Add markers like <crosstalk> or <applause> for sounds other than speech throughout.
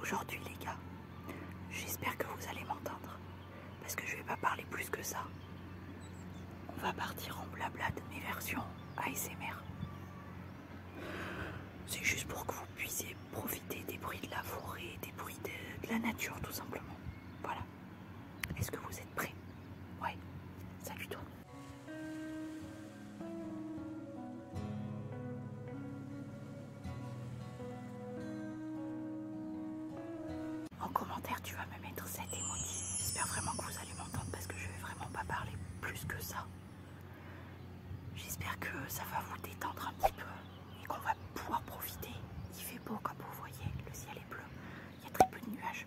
Aujourd'hui les gars, j'espère que vous allez m'entendre, parce que je vais pas parler plus que ça. On va partir en blabla de mes versions ASMR. C'est juste pour que vous puissiez profiter des bruits de la forêt, des bruits de, la nature tout simplement. Voilà. Est-ce que vous êtes prêts Ouais. Salut tout en commentaire, tu vas me mettre cette émotion. J'espère vraiment que vous allez m'entendre parce que je vais vraiment pas parler plus que ça. J'espère que ça va vous détendre un petit peu et qu'on va pouvoir profiter. Il fait beau comme vous voyez, le ciel est bleu, il y a très peu de nuages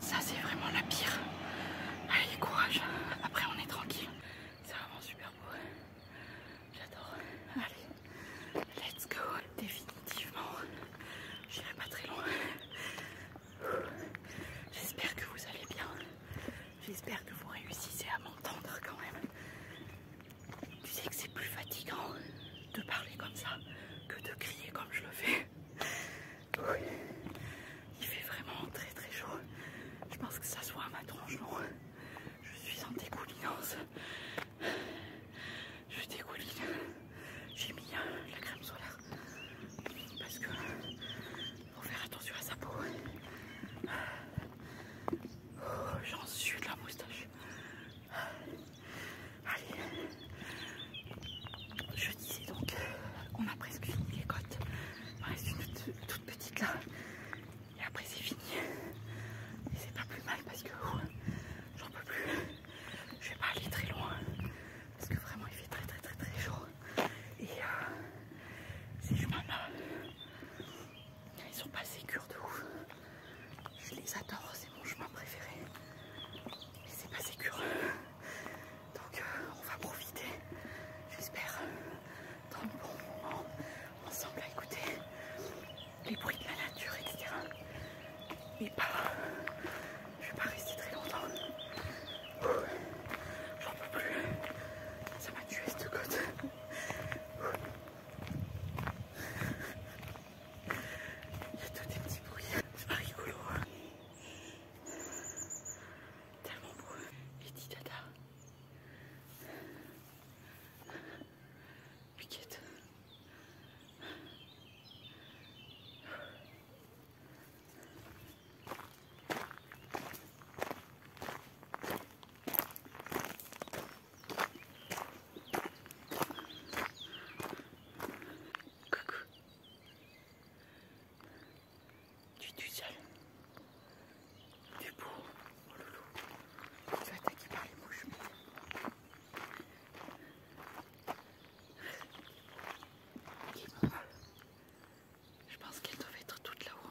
Ça, c'est vraiment la pire. Allez, courage. Après, on est tranquille. C'est vraiment super beau. J'adore. Allez, let's go. Définitivement, j'irai pas très loin. J'espère que vous allez bien. J'espère que vous réussissez à m'entendre quand même. Tu sais que c'est plus fatigant de parler comme ça que de crier comme je le fais. Il fait vraiment très très chaud. Je pense que ça soit à ma tronche, Je suis en découlinance. Je dégouline J'ai mis euh, la crème solaire. Parce que faut faire attention à sa peau. Oh, j'en suis de la moustache. Allez. Je disais donc, on a presque fini les côtes. Il reste une toute, petite là. Et après c'est fini. Et c'est pas plus mal parce que j'en peux plus. Je vais pas aller très loin. Parce que vraiment il fait très très très très chaud. Et euh, ces chemins là, ils sont pas sécures de ouf. Je les adore, c'est mon chemin préféré. Mais c'est pas sécure. Donc euh, on va profiter, j'espère, dans le bon moment, ensemble à écouter les bruits de la nature, etc. Mais pas... Je vais pas rester très longtemps. J'en peux plus. Ça m'a tué cette côte. Il y a tous des petits bruits. C'est pas rigolo. Hein. Tellement beau. Et dit dada. Piquette. Coucou. Tu tout seul. es beau, oh loulou. Tu es attaqué par les mouches. Qui Je pense qu'elles doivent être toutes là-haut.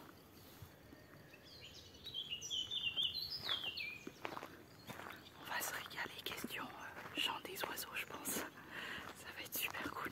On va se régaler, question euh, chant des oiseaux, je pense ça va être super cool.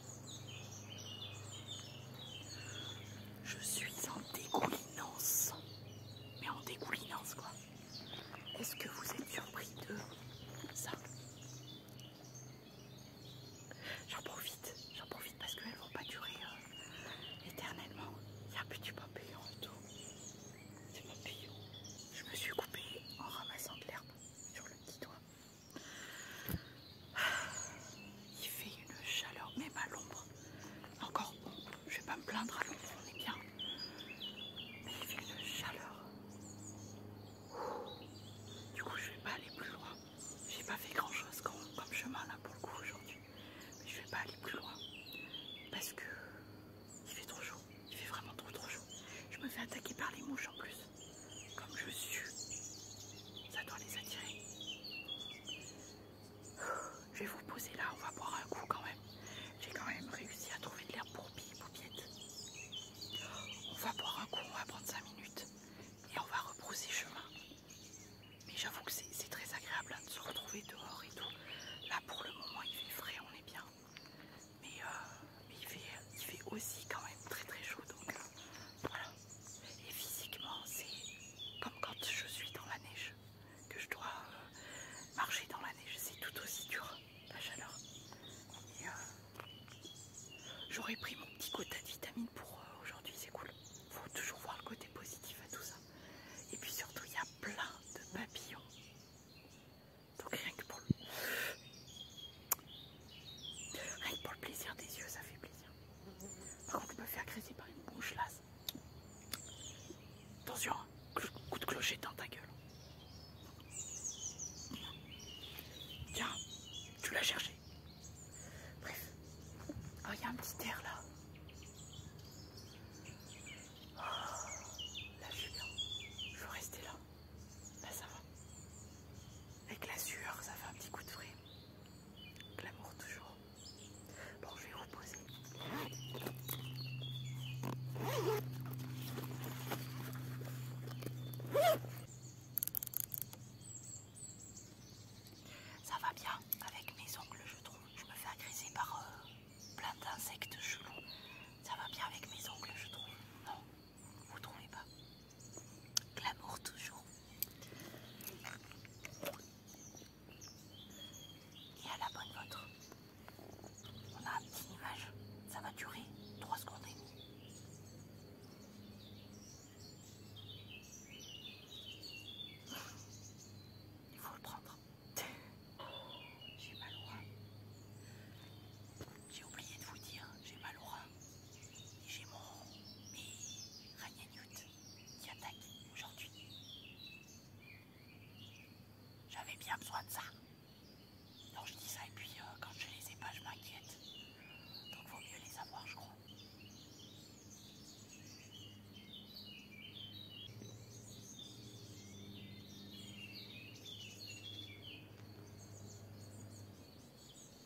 Je suis en dégoulinance. Mais en dégoulinance, quoi. Est-ce que vous êtes surpris de ça J'en profite, j'en profite parce qu'elles vont pas durer euh, éternellement. Il n'y a plus du papillon en tout. mon papillon. Je me suis coupé en ramassant de l'herbe sur le petit doigt. Il fait une chaleur, même pas l'ombre. Encore je vais pas me plaindre à l'ombre, on est bien. Mais il fait une chaleur. Du coup, je vais pas aller plus loin. J'ai pas fait grand chose comme, chemin là pour le coup aujourd'hui. Mais je vais pas aller plus loin. Parce que il fait trop chaud. Il fait vraiment trop trop chaud. Je me fais attaquer par les mouches en plus. Comme je suis, ça doit les attirer. <sighs> Je vais vous poser là, on va boire un coup quand même. J'ai quand même réussi à trouver de l'air pour billes, On va boire un coup, on va prendre 5 minutes et on va rebrousser chemin. Mais j'avoue que c'est très agréable hein, de se retrouver dehors et tout. Là pour le moment il fait frais, on est bien. Mais, euh, il, fait, il fait aussi quand même très très chaud donc euh, voilà. Et physiquement, c'est comme quand je suis dans la neige, que je dois euh, marcher dans la neige. C'est tout aussi dur, la chaleur. Euh, j'aurais pris mon petit quota de vitamines pour euh, aujourd'hui, c'est cool. Faut toujours voir le côté positif à tout ça. Et puis surtout, il y a plein de papillons. Donc rien que pour le... Rien que pour le plaisir des yeux, ça fait plaisir. Par contre, je me fais agresser par une bouche là. Attention, hein. coup de clocher dans ta gueule. Tiens, tu l'as cherché. Bref. Oh, il y a un petit air là. là, je bien. Je veux rester là. Là, ben, ça va. Avec la sueur, ça fait un petit coup de frais. L'amour toujours. Bon, je vais reposer. Ça va bien avec mes ongles, je trouve. Je me fais agresser par euh, plein d'insectes chelous. Ça va bien avec mes ongles, je trouve. Non vous ne trompez pas Glamour toujours. Et à la bonne vôtre. On a une image. Ça va durer 3 secondes et Il faut le prendre. J'ai mal au J'ai oublié de vous dire, j'ai mal au j'ai mon mon Rania qui attaquent aujourd'hui. J'avais bien besoin de ça. Non, je dis ça et puis quand je les ai pas, je m'inquiète. Donc vaut mieux les avoir, je crois. Il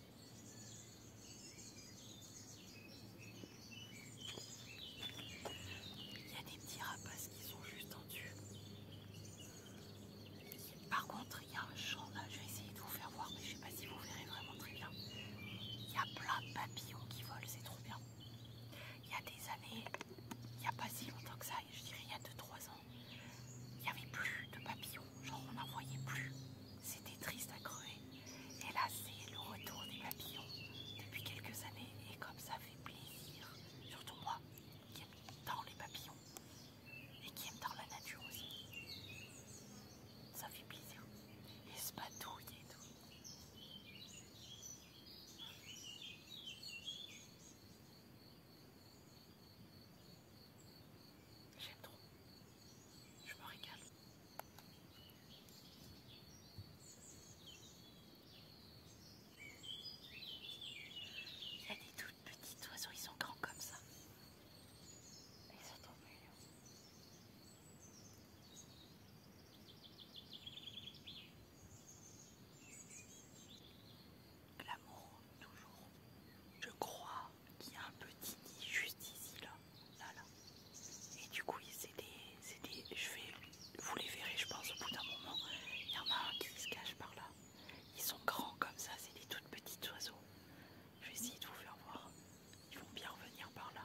y a des petits rapaces qui sont juste tendus, Par contre, il y a un champ là, ah, je vais essayer de vous faire voir, mais je ne sais pas si vous verrez vraiment très bien. Il y a plein de papillons qui volent, c'est trop bien. Il y a des années, il n'y a pas si longtemps que ça, je dirais il y a 2-3 ans, il n'y avait plus de papillons, genre on n'en voyait plus. C'était triste à crever. Et là, c'est le retour des papillons depuis quelques années. Et comme ça fait plaisir, surtout moi qui aime tant les papillons et qui aime tant la nature aussi. Ça fait plaisir. Et se batouille et tout. J'aime trop. Je me régale. Il y a des toutes petites oiseaux, ils sont grands comme ça. Ils sont trop mignons. L'amour, toujours, je crois, qui a un petit nid juste ici là, là, là. Et du coup, c'est des, je vais, vous les verrez, je pense, au bout d'un moment. Il y en a un qui se cache par là. Ils sont grands comme ça, c'est des toutes petites oiseaux. Je vais essayer de vous faire voir. Ils vont bien revenir par là.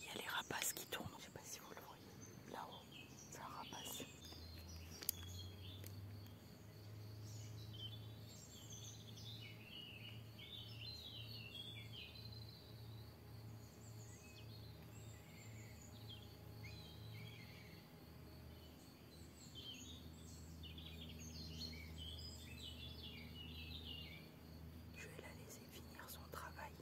Il y a les rapaces qui tournent. Je sais pas si vous le voyez. Là-haut, c'est un rapace. Je vais la laisser finir son travail.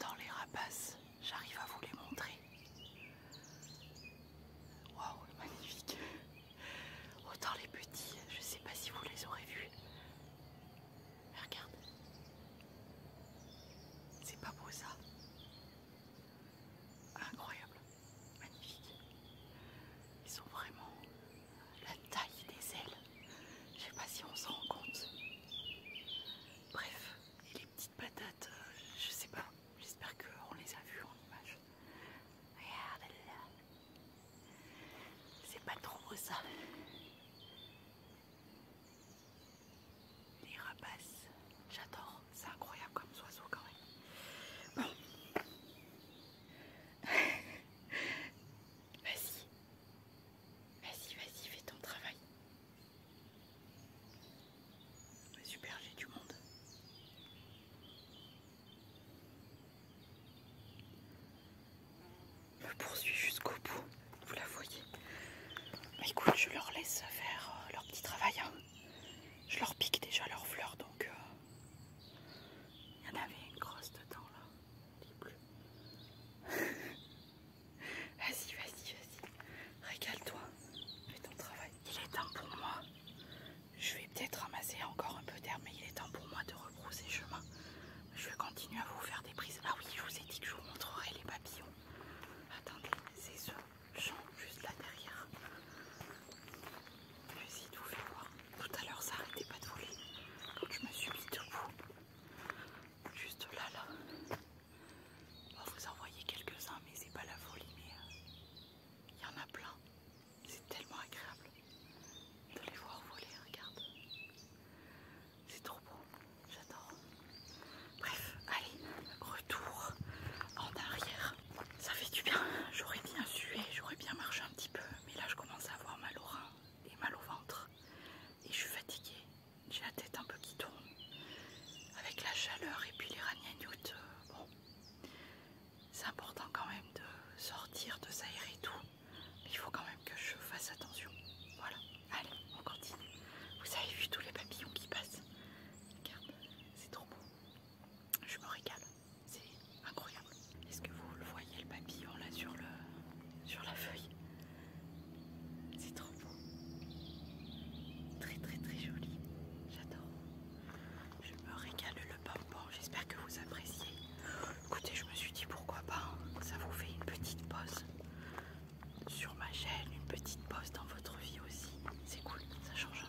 Dans les rapaces, j'arrive à vous les montrer. Waouh, magnifique. Autant les petits, je sais pas si vous les aurez vus. Mais regarde. C'est pas beau ça. Incroyable. Magnifique. Ils ont vraiment la taille des ailes. Je sais pas si on s'en rend compte. Bref, et les petites patates, euh, je sais pas. J'espère qu'on les a vues en image. Regarde là. C'est pas trop ça. Les rapaces, j'adore. C'est incroyable comme oiseau quand même. Bon vas-y. Vas-y, vas-y, fais ton travail. Super, j'ai du monde. Me poursuit jusqu'au bout, vous la voyez. écoute, je leur laisse faire euh, leur petit travail. Hein. Je leur pique déjà leurs fleurs, donc... Euh, il y en avait une grosse dedans là. Il <laughs> vas-y, vas-y, vas-y. Régale-toi. Fais ton travail. Il est temps pour moi. Je vais peut-être ramasser encore un peu d'herbe, mais il est temps pour moi de rebrousser chemin. Je vais continuer à vous faire des prises. Ah oui, je vous ai dit que je vous montrerai les papillons. Attendez, c'est ce champ juste là derrière. Je vais essayer vous voir. Tout à l'heure, ça arrêtait pas de voler. Quand je me suis mis debout, juste là, là. va vous envoyer quelques-uns, mais c'est pas la folie, mais euh, il y en a plein. C'est tellement agréable de les voir voler, regarde. C'est trop beau, j'adore. Bref, allez, retour en arrière. Ça fait du bien. J'aurais bien sué, j'aurais bien marché un petit peu. Mais là, je commence à avoir mal au rein et mal au ventre. Et je suis fatiguée. J'ai la tête un peu qui tourne. Avec la chaleur et puis les ragnagnoutes, euh, bon. C'est important quand même de sortir, de s'aérer et tout. Mais il faut quand même que je fasse attention. Voilà. Allez, on continue. Vous avez vu tous les papillons qui passent Regarde, c'est trop beau. Je me régale. C'est incroyable. Est-ce que vous le voyez le papillon là sur, la feuille C'est trop beau. Très très très joli. J'adore. Je me régale le bonbon. J'espère que vous appréciez. Écoutez, je me suis dit pourquoi pas. Hein. Ça vous fait une petite pause sur ma chaîne, une petite pause dans votre vie aussi. C'est cool, ça change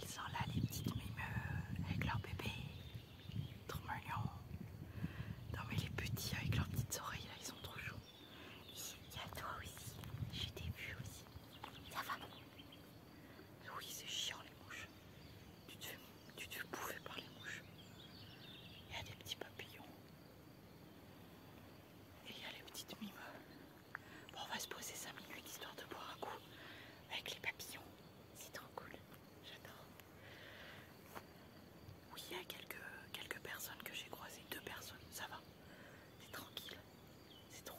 Ils sont là les petites mimeux avec leur bébé, trop mignon. Non mais les petits avec leurs petites oreilles là, ils sont trop chauds. il y a toi aussi, j'ai des vues aussi. Ça va oui, c'est chiant les mouches. Tu te, fais, bouffer par les mouches. Il y a des petits papillons. Et il y a les petites mimes. Bon, on va se poser 5 minutes histoire de boire un coup avec les papillons. C'est trop cool. J'adore. Oui, il y a quelques, quelques personnes que j'ai croisées. Deux personnes, ça va. C'est tranquille. C'est trop.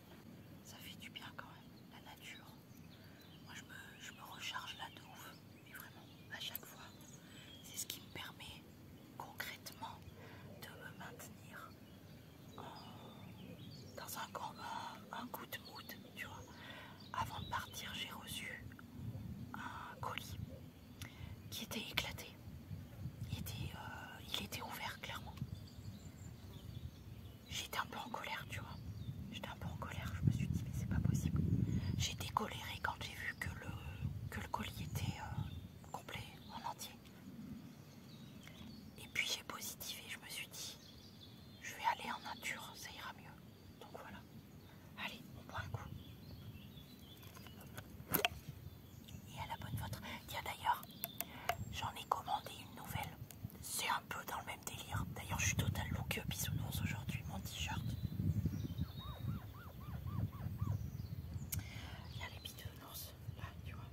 Ça fait du bien quand même, la nature. Moi je me, recharge là de mais vraiment à chaque fois. C'est ce qui me permet concrètement de me maintenir dans un, combat, un, coup de mood, tu vois. Avant de partir, j'ai reçu un colis qui était éclaté. il était euh, ouvert clairement. J'étais un peu en colère, tu vois. J'étais un peu en colère, je me suis dit, mais c'est pas possible. J'étais colérée quand j'ai vu que le, que le colis était euh, complet, en entier. Et puis j'ai positivé, je me suis dit, je vais aller en nature, ça ira mieux. Donc voilà. Allez, on prend un coup et à la bonne vôtre. Tiens d'ailleurs, j'en ai commandé une nouvelle. C'est un peu dans le même délire. D'ailleurs, je suis total look bisounours aujourd'hui, mon t-shirt. Il y a les bisounours, là, tu vois.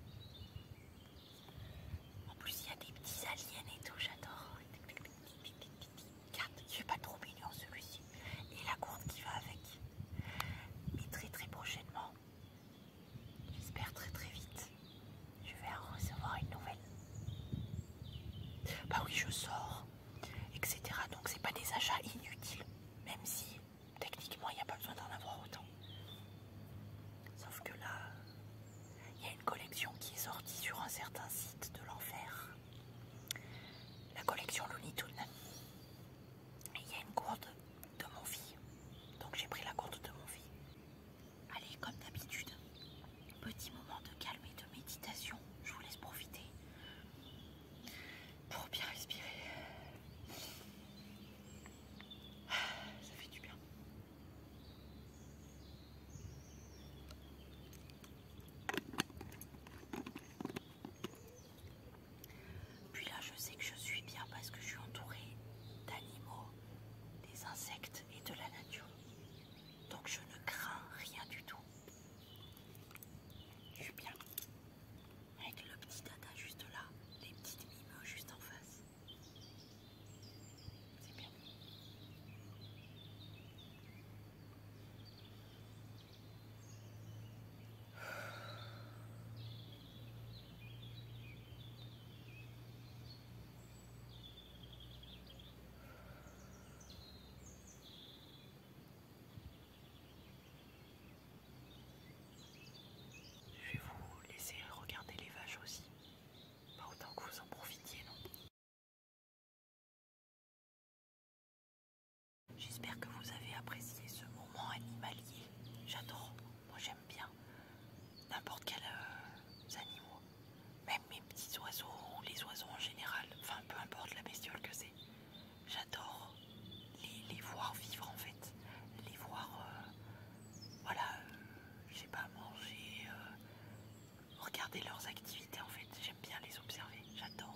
En plus, il y a des petits aliens et tout, j'adore. Je il est pas trop mignon celui-ci. Et la courbe qui va avec. Et très très prochainement, J'espère très très vite. Je vais en recevoir une nouvelle. Bah oui, je sors, etc. Donc c'est pas des achats inutiles, même si techniquement il n'y a pas besoin d'en avoir autant. Sauf que là, il y a une collection qui est sortie sur un certain site de l'enfer. La collection Looney Tunes. Et il y a une courte de mon vie. Donc j'ai pris la gourde de mon vie. Allez, comme d'habitude, petit moment de calme et de méditation. Je vous laisse profiter pour bien respirer. Ah, ça fait du bien. Puis là, je sais que je suis bien parce que je suis entourée d'animaux, des insectes et de la nature. Donc je ne crains rien du tout. Je suis bien. Avec le petit dada juste là, les petites mimes juste en face. C'est bien. Je vais vous laisser regarder les vaches aussi. Pas autant que vous en profitiez, non J'espère que vous avez apprécié ce moment animalier. J'adore. Moi j'aime bien n'importe quels euh, animaux, même mes petits oiseaux les oiseaux en général, enfin peu importe la bestiole que c'est. J'adore les, voir vivre en fait, les voir, euh, voilà, euh, je sais pas, manger, regarder leurs activités en fait. J'aime bien les observer, j'adore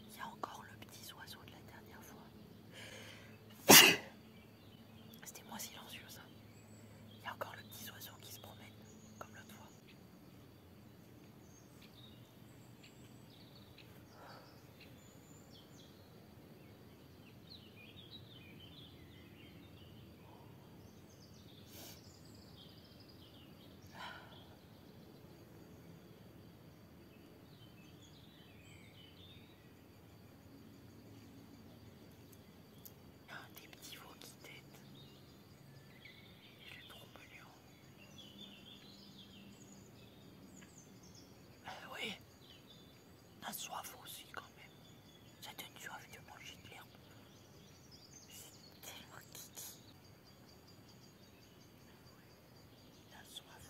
Il y a encore le petit oiseau de la dernière fois. <coughs> C'était moins silencieux ça. Il y a encore le petit oiseau qui se promène, comme l'autre fois. Ah, des petits veaux qui têtent. Il est trop mignon. Euh, oui, la soif aussi quand même. Ça donne soif de manger de l'herbe. C'est tellement kiki a soif,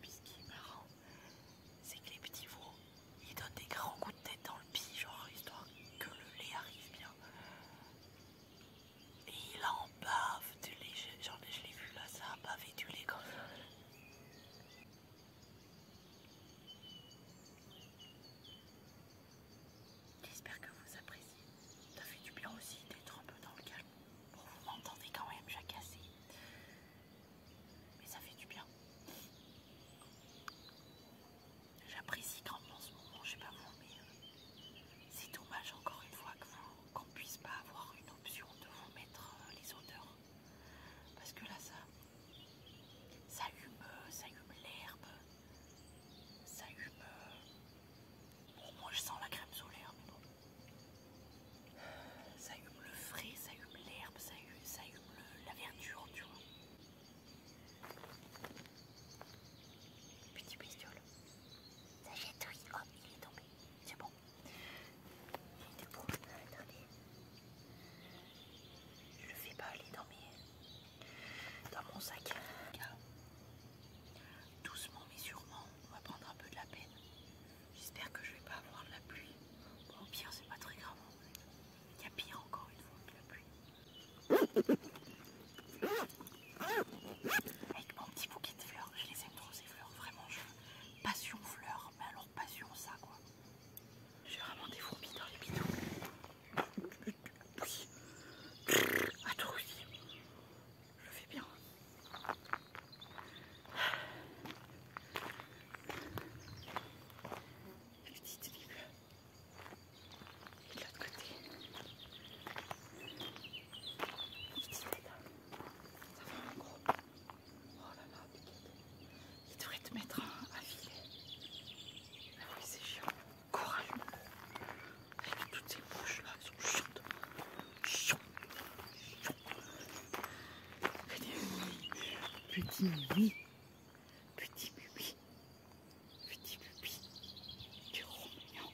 Puis ce qui est marrant, c'est que les petits veaux, ils donnent des grands coups de tête dans le pis, genre histoire oh, que le lait arrive bien. Et il en bave du lait, genre je l'ai vu là, ça a bavé du lait comme ça. J'espère que vous appréciez. Ça fait du bien aussi d'être un peu dans le calme. Bon, vous m'entendez quand même cassé, Mais ça fait du bien. J'apprécie grandement en ce moment, je sais pas vous, mais euh, c'est dommage encore une fois qu'on ne puisse pas avoir une option de vous mettre euh, les odeurs, Parce que là, ça, ça hume, ça hume l'herbe, ça hume. Bon, moi je sens la crème solaire, mais bon. Ça hume le frais, ça hume l'herbe, ça hume, ça hume la verdure, tu vois. Petit bestiole. Ça jette, oui. Oh, il est tombé. C'est bon. Il était je peux Je fais pas aller dans, mes... dans mon sac. doucement mais sûrement, on va prendre un peu de la peine. J'espère que je vais pas avoir de la pluie. Bon, au pire, c'est pas très grave. Il y a pire encore une fois que la pluie. Avec mon petit bouquet de fleurs, je les aime trop ces fleurs, vraiment. Je... Passion fleurs, mais alors passion ça quoi. J'ai vraiment des fourmis dans les bidons. Oui. À toi aussi. Je fais bien. petite Et de l'autre côté. petite Ça fait un gros. Oh là là, il devrait te mettre à filet. Ah oui, c'est chiant. toutes ces bouches là, elles sont chiantes. Chiantes. Petit Petit bubi. Petit bubi. Tu es mignon.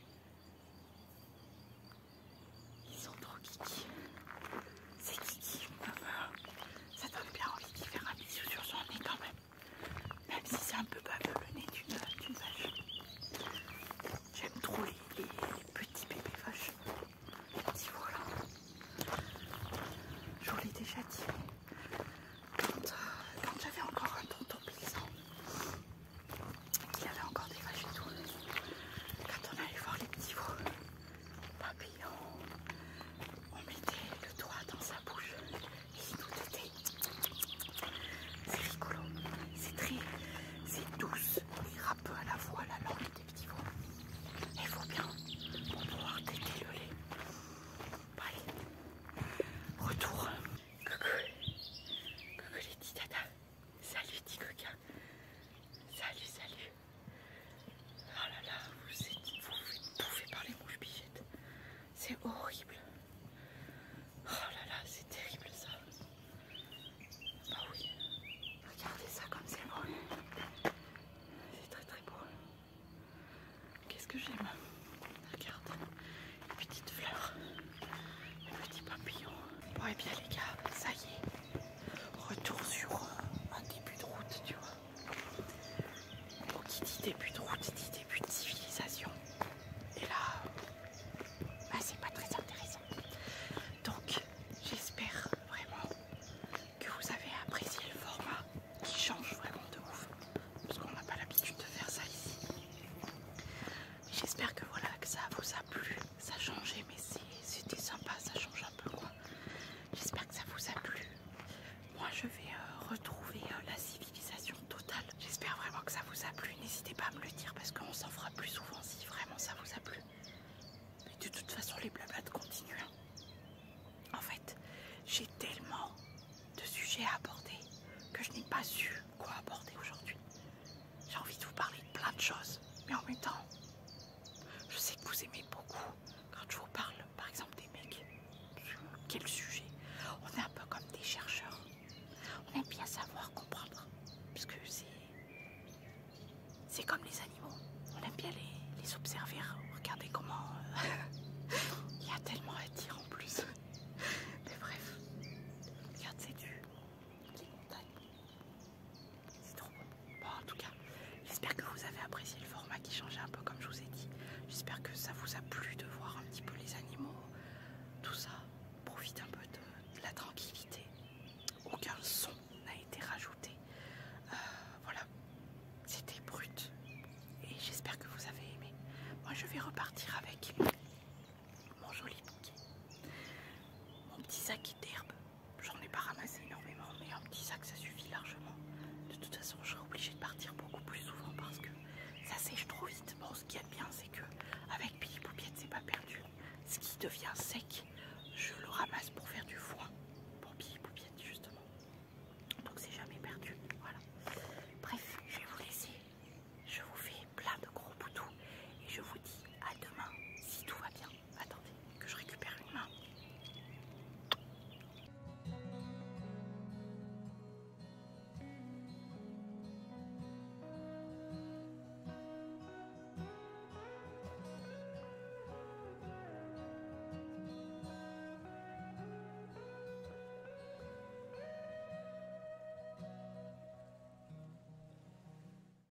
Ils sont trop kiki. C'est kiki. Ça donne bien envie d'y faire un bisou sur son nez quand même. Même si c'est un peu baveux le nez d'une vache. J'aime trop les, petits bébés vaches. Les petits là. Je vous l'ai déjà dit. Quand, euh, j'avais encore un tonton qu'il il avait encore des vaches et tout. Quand on allait voir les petits veaux, papillon, on mettait le doigt dans sa bouche et il nous têtait. C'est rigolo, c'est très, c'est douce ira peu à la fois la langue des petits Et Il faut bien pour pouvoir têter le lait. Allez, retour. Coucou, coucou les petits Salut, petit coquin. Salut, salut. Oh là là, vous êtes, vous par les mouches bichettes. C'est horrible. Oh là là, c'est terrible ça. Bah oui. Regardez ça comme c'est beau. C'est très très beau. Qu'est-ce que j'aime Regarde. Les petites fleurs. Les petits papillons. Bon et eh bien les gars, ça y est retour sur euh, un début de route, tu vois. Petit qui dit début de route, dit début de civilisation. Et là, bah, c'est pas très intéressant. Donc j'espère vraiment que vous avez apprécié le format qui change vraiment de ouf. Parce qu'on n'a pas l'habitude de faire ça ici. J'espère que voilà que ça vous a plu ça a changé, mais c'était sympa, ça change un peu quoi. J'espère que ça vous a plu. Moi je vais euh, retrouver euh, la civilisation totale. J'espère vraiment que ça vous a plu. N'hésitez pas à me le dire parce qu'on s'en fera plus souvent si vraiment ça vous a plu. Mais de toute façon les de continuent. Hein. En fait, j'ai tellement de sujets à aborder que je n'ai pas su quoi aborder aujourd'hui. J'ai envie de vous parler de plein de choses, mais en même temps, je sais que vous aimez beaucoup quand je vous parle, par exemple, des mecs. Quel sujet On est un peu comme des chercheurs. On aime bien savoir, comprendre. Parce que c'est. comme les animaux. On aime bien les, les observer, regarder comment. Euh, <laughs> il y a tellement à dire en plus. Mais bref. regardez c'est du. Les montagnes. C'est trop beau. en tout cas, j'espère que vous avez apprécié le format qui changeait un peu comme je vous ai dit. J'espère que ça vous a plu de voir un petit peu les animaux, tout ça. Profite un peu de, la tranquillité. Aucun son n'a été rajouté. Euh, voilà, c'était brut. Et j'espère que vous avez aimé. Moi, je vais repartir avec mon joli bouquet, mon petit sac d'herbe. J'en ai pas ramassé énormément, mais un petit sac ça suffit largement. De toute façon, je serai obligée de partir beaucoup plus souvent parce que ça sèche trop vite. Bon, ce qui est bien, c'est que avec Pili Poupiette, c'est pas perdu. Ce qui devient sec, je le ramasse pour faire du foin pour Pili Poupiette, justement. Donc, c'est jamais perdu. Voilà. Bref, je vais vous laisser. Je vous fais plein de gros boutous et je vous dis à demain si tout va bien. Attendez, que je récupère une main.